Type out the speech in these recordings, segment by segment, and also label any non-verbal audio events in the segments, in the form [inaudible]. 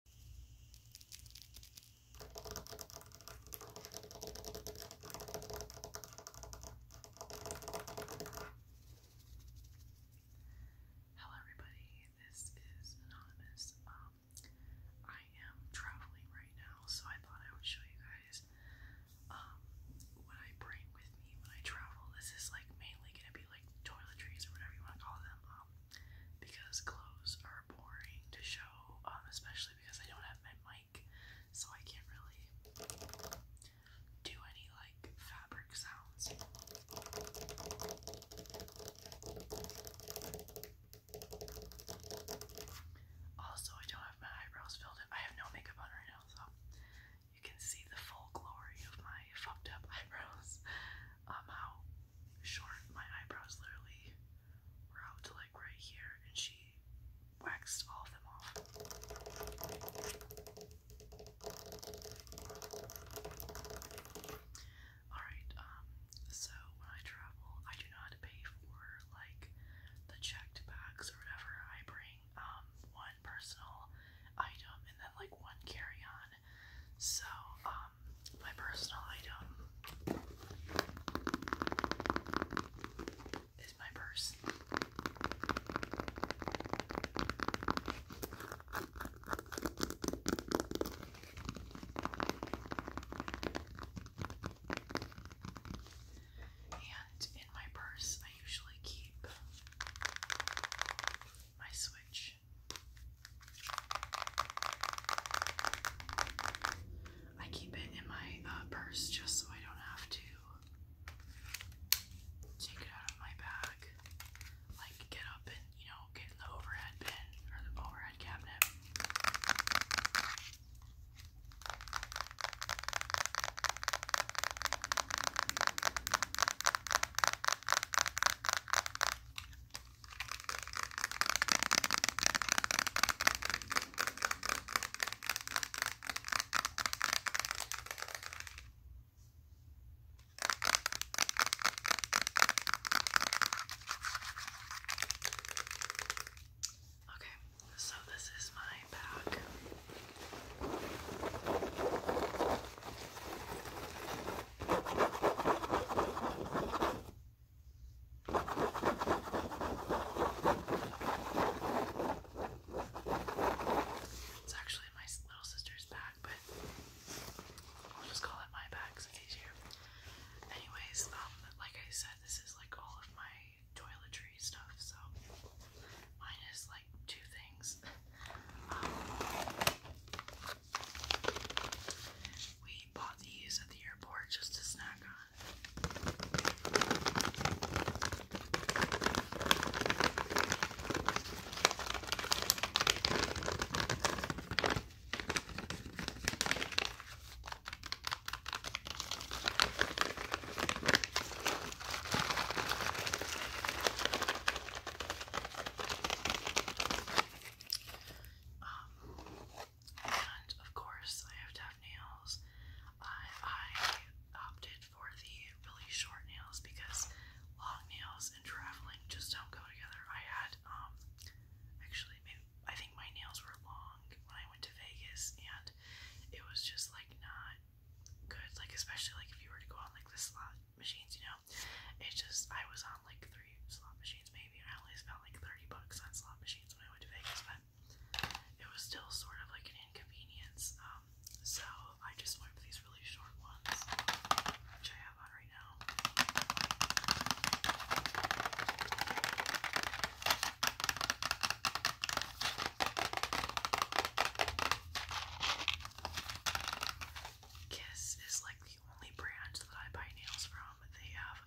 Hello, everybody. This is Anonymous. Um, I am traveling right now, so I thought I would show you guys um, what I bring with me when I travel. This is like mainly gonna be like toiletries or whatever you want to call them. Um, because clothes are boring to show, um, especially because I don't have my mic, so I can't really do any like fabric sounds. Also, I don't have my eyebrows filled in. I have no makeup on right now, so you can see the full glory of my fucked up [laughs] eyebrows um, how short my eyebrows literally were out to like right here, and she waxed all of them off. Alright, um, so when I travel, I do not pay for like the checked bags or whatever. I bring um one personal item and then like one carry on so, um, my personal item is my purse. And in my purse, I usually keep my Switch I keep it in my uh, purse just so I don't have to take it out of my bag. Like get up and, you know, get in the overhead bin or the overhead cabinet. Okay, so this is my bag. It's actually my little sister's bag, but I'll just call it my bag because it's easier. Anyways, um, like I said, this is like all of my toiletry stuff, so mine like two things. [laughs] Um, we bought these at the airport just to snack on. Um, and of course, I have to have nails. I, I opted for the really short nails because long nails and traveling just don't go together. I had, um, actually, maybe, I think my nails were long when I went to Vegas, and it was just like not good. Like, especially like if you were to go on like the slot machines, you know know. It just I was on like three slot machines maybe. I only spent like thirty bucks on slot machines when I went to Vegas, but it was still sort of like an inconvenience. Um, so I just went for these really short ones, which I have on right now. Kiss is like the only brand that I buy nails from. They have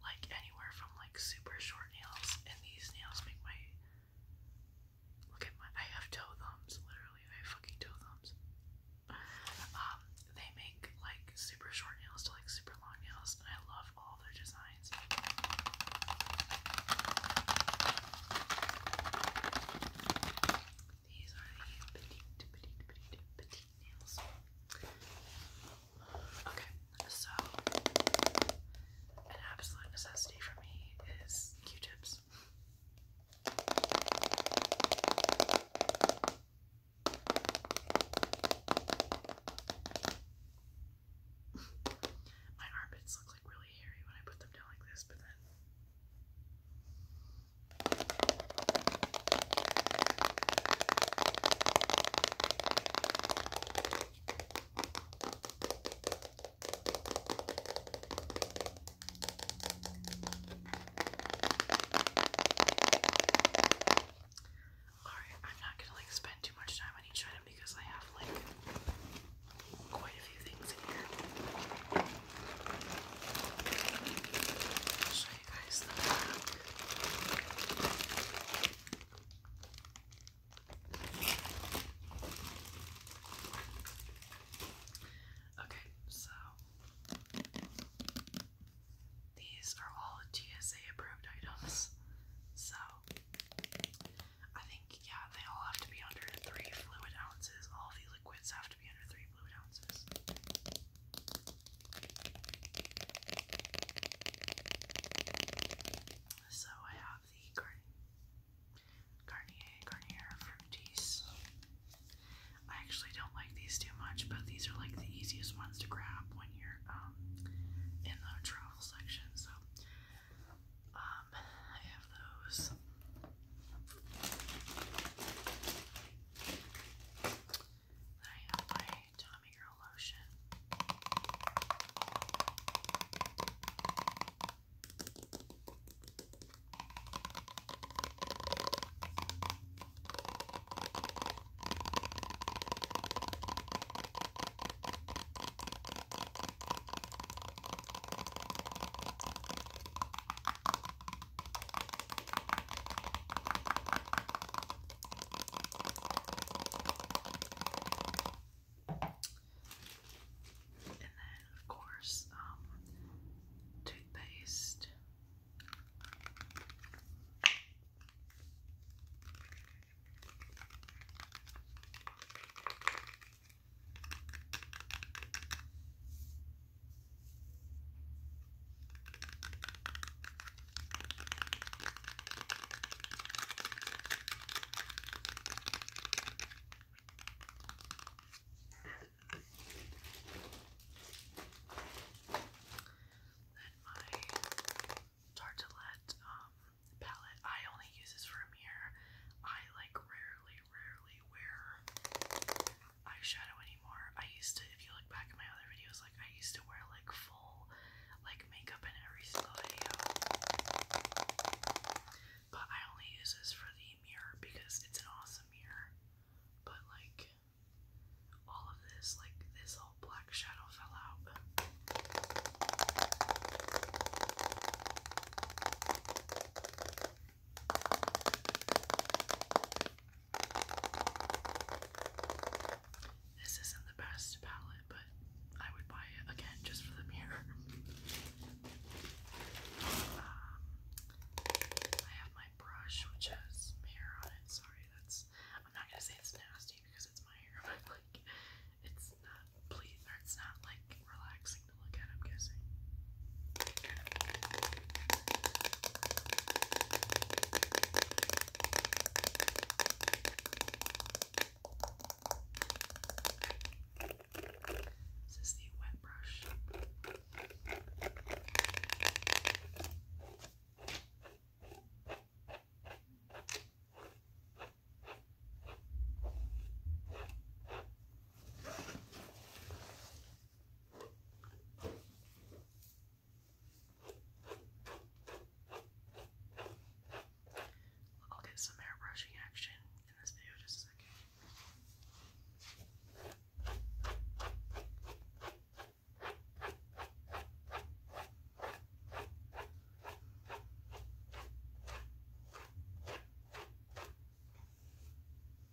like anywhere from like super short nails, and these nails make my look at my. I have toe thumbs, literally. I have fucking toe thumbs. Um, they make like super short nails to like super long nails, I love all their designs. These are the nails. Okay, so an absolute necessity for me is Q-tips. My armpits look like really hairy when I put them down like this, but then Alright, I'm not gonna like spend too much time on each because I have like quite a few things in here. Okay, so these are all TSA approved items. So I think yeah, they all have to be under three fluid ounces. All the liquids have to be under three fluid ounces. So I have the Garnier Garnier Fructis. I actually don't like these too much, but these are like the easiest ones to grab when you're um in the travel section. So um I have those. I have my Tommy Girl lotion. And then, of course, um, toothpaste. Then my Tartalette um palette. I only use this for a mirror. I like rarely, rarely wear eyeshadow anymore. I used to, if you look back at my other videos, like I used to wear like full like makeup in every single video. But I only use this for the mirror because it's an awesome mirror. But like all of this, like this whole black shadow fell out. This isn't the best palette, but I would buy it again just for the mirror. [laughs] Um, I have my brush, which has hair on it. Sorry, that's. I'm not gonna say it's nasty because it's my hair, [laughs] but like, it's not please, or it's not like relaxing to look at. I'm guessing. This is the wet brush. I'll get some airbrushing action in this video in just a second.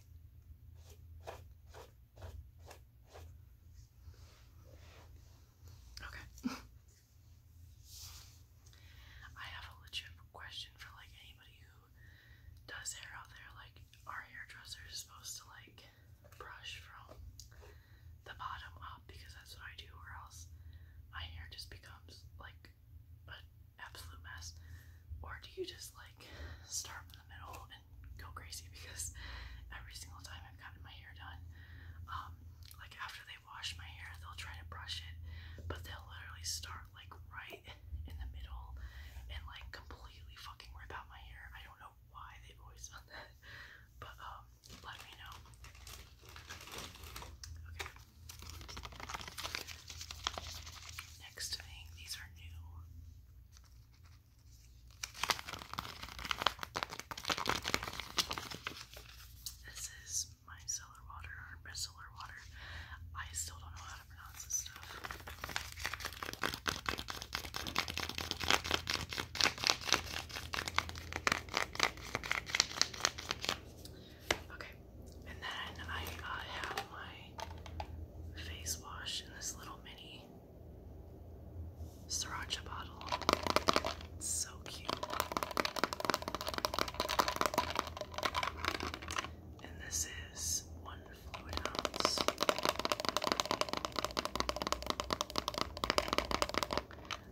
Okay. [laughs] I have a legit question for like anybody who does hair out there. Like, are hairdressers supposed to like brush from the bottom up because that's what I do, or else my hair just becomes like an absolute mess? Or do you just like start from the middle and go crazy? Because every single time I've gotten my hair done, um, like after they wash my hair, they'll try to brush it, but they'll literally start like right in the middle and like completely fucking rip out my hair. I don't know why they've always [laughs] done that, but um, let me know. Okay. Next thing, these are new. This is micellar water or micellar water. I still don't know how to pronounce this stuff. Okay, and then I have my face wash in this little mini sriracha bottle. so cute. And this is one fluid ounce.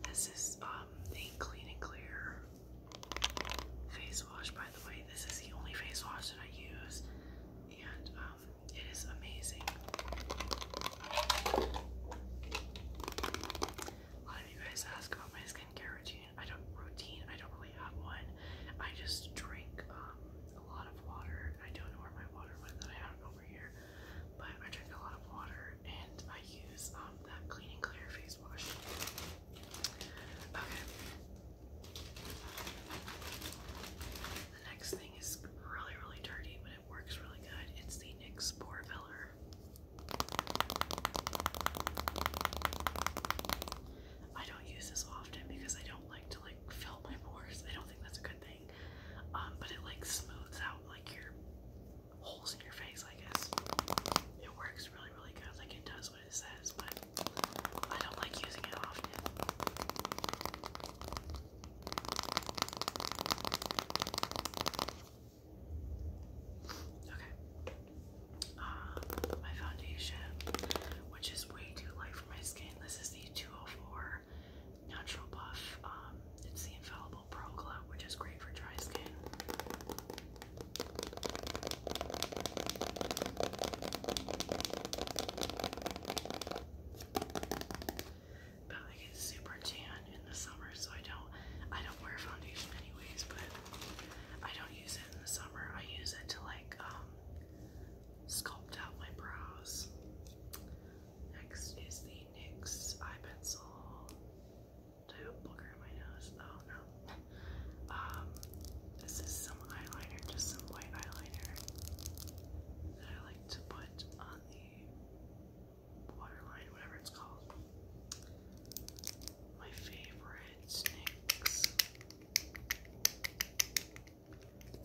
This is um, the Clean and Clear face wash, by the way. This is the only face wash that I use, and um, it is amazing. A lot of you guys ask about my skincare routine. I don't routine. I don't really have one. I just drink um, a lot of water. I don't know where my water went that I have over here, but I drink a lot of water and I use um, that clean and clear face wash. Okay. The next thing is really, really dirty, but it works really good. It's the NYX Spore Filler. I don't use this often because I don't like to like fill my pores. I don't think that's a good thing. Um, but it like smooths out like your holes in your face, I guess. It works really, really good. Like it does it says, but I don't like using it often. Okay. Um, my foundation, which is way too light for my skin. This is the 204 Natural Buff. Um, it's the Infallible Pro Glow, which is great for dry skin. But I get super tan in the summer, so I don't I don't wear foundation anyways, but I don't use it in the summer. I use it to like um, sculpt out my brows. Next is the NYX eye pencil. Did I have a booger my nose? Oh no. Um, this is some eyeliner, just some white eyeliner that I like to put on the waterline, whatever it's called. My favorite NYX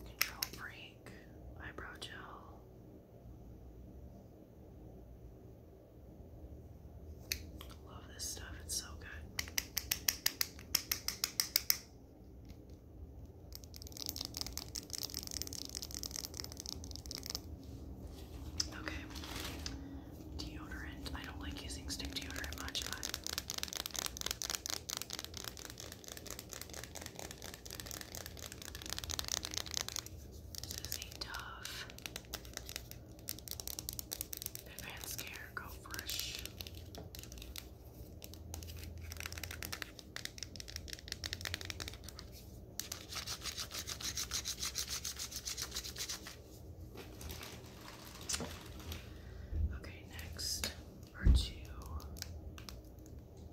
Control Freak Eyebrow Gel. Love this stuff, it's so good. Okay, deodorant. I don't like using stick deodorant much, but. This is a the Vans Care Go Fresh. Okay, next are two.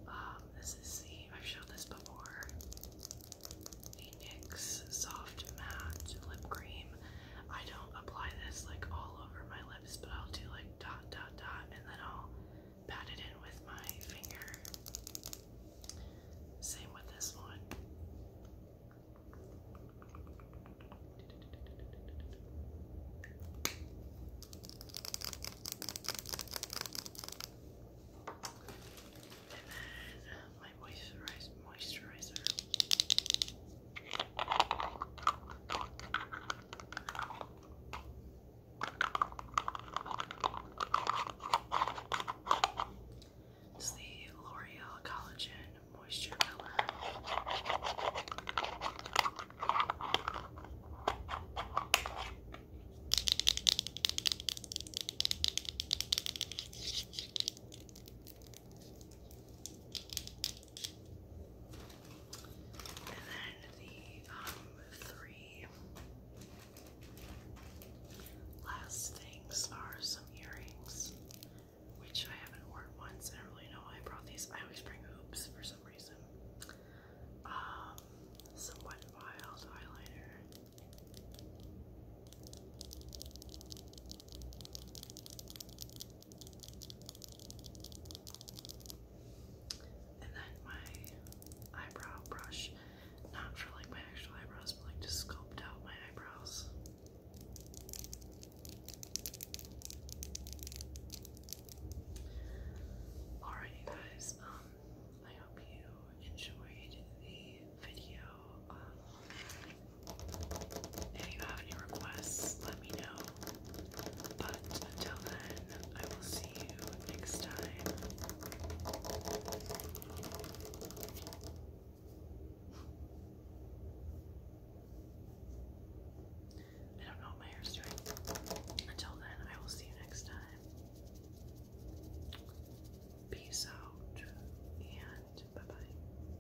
Um, this is the I've showed this before. The Soft Matte Lip Cream. I don't apply this like all over my lips, but I'll do like dot dot dot and then I'll pat it in with my finger. Same with this one. And then my moisturizer, it's the L'Oreal Collagen Moisture Pillar. And then the um, three last things are some earrings, which I haven't worn once. I don't really know why I brought these. I always bring hoops for some reason. Um, some Wet Wild highlighter. And then my eyebrow brush, not for like my actual eyebrows, but like to sculpt out my eyebrows. Alright, you guys, um, I hope you enjoyed the video. Um, if you have any requests, let me know. But until then, I will see you next time. I don't know what my hair's doing. Until then, I will see you next time. Peace out and bye bye.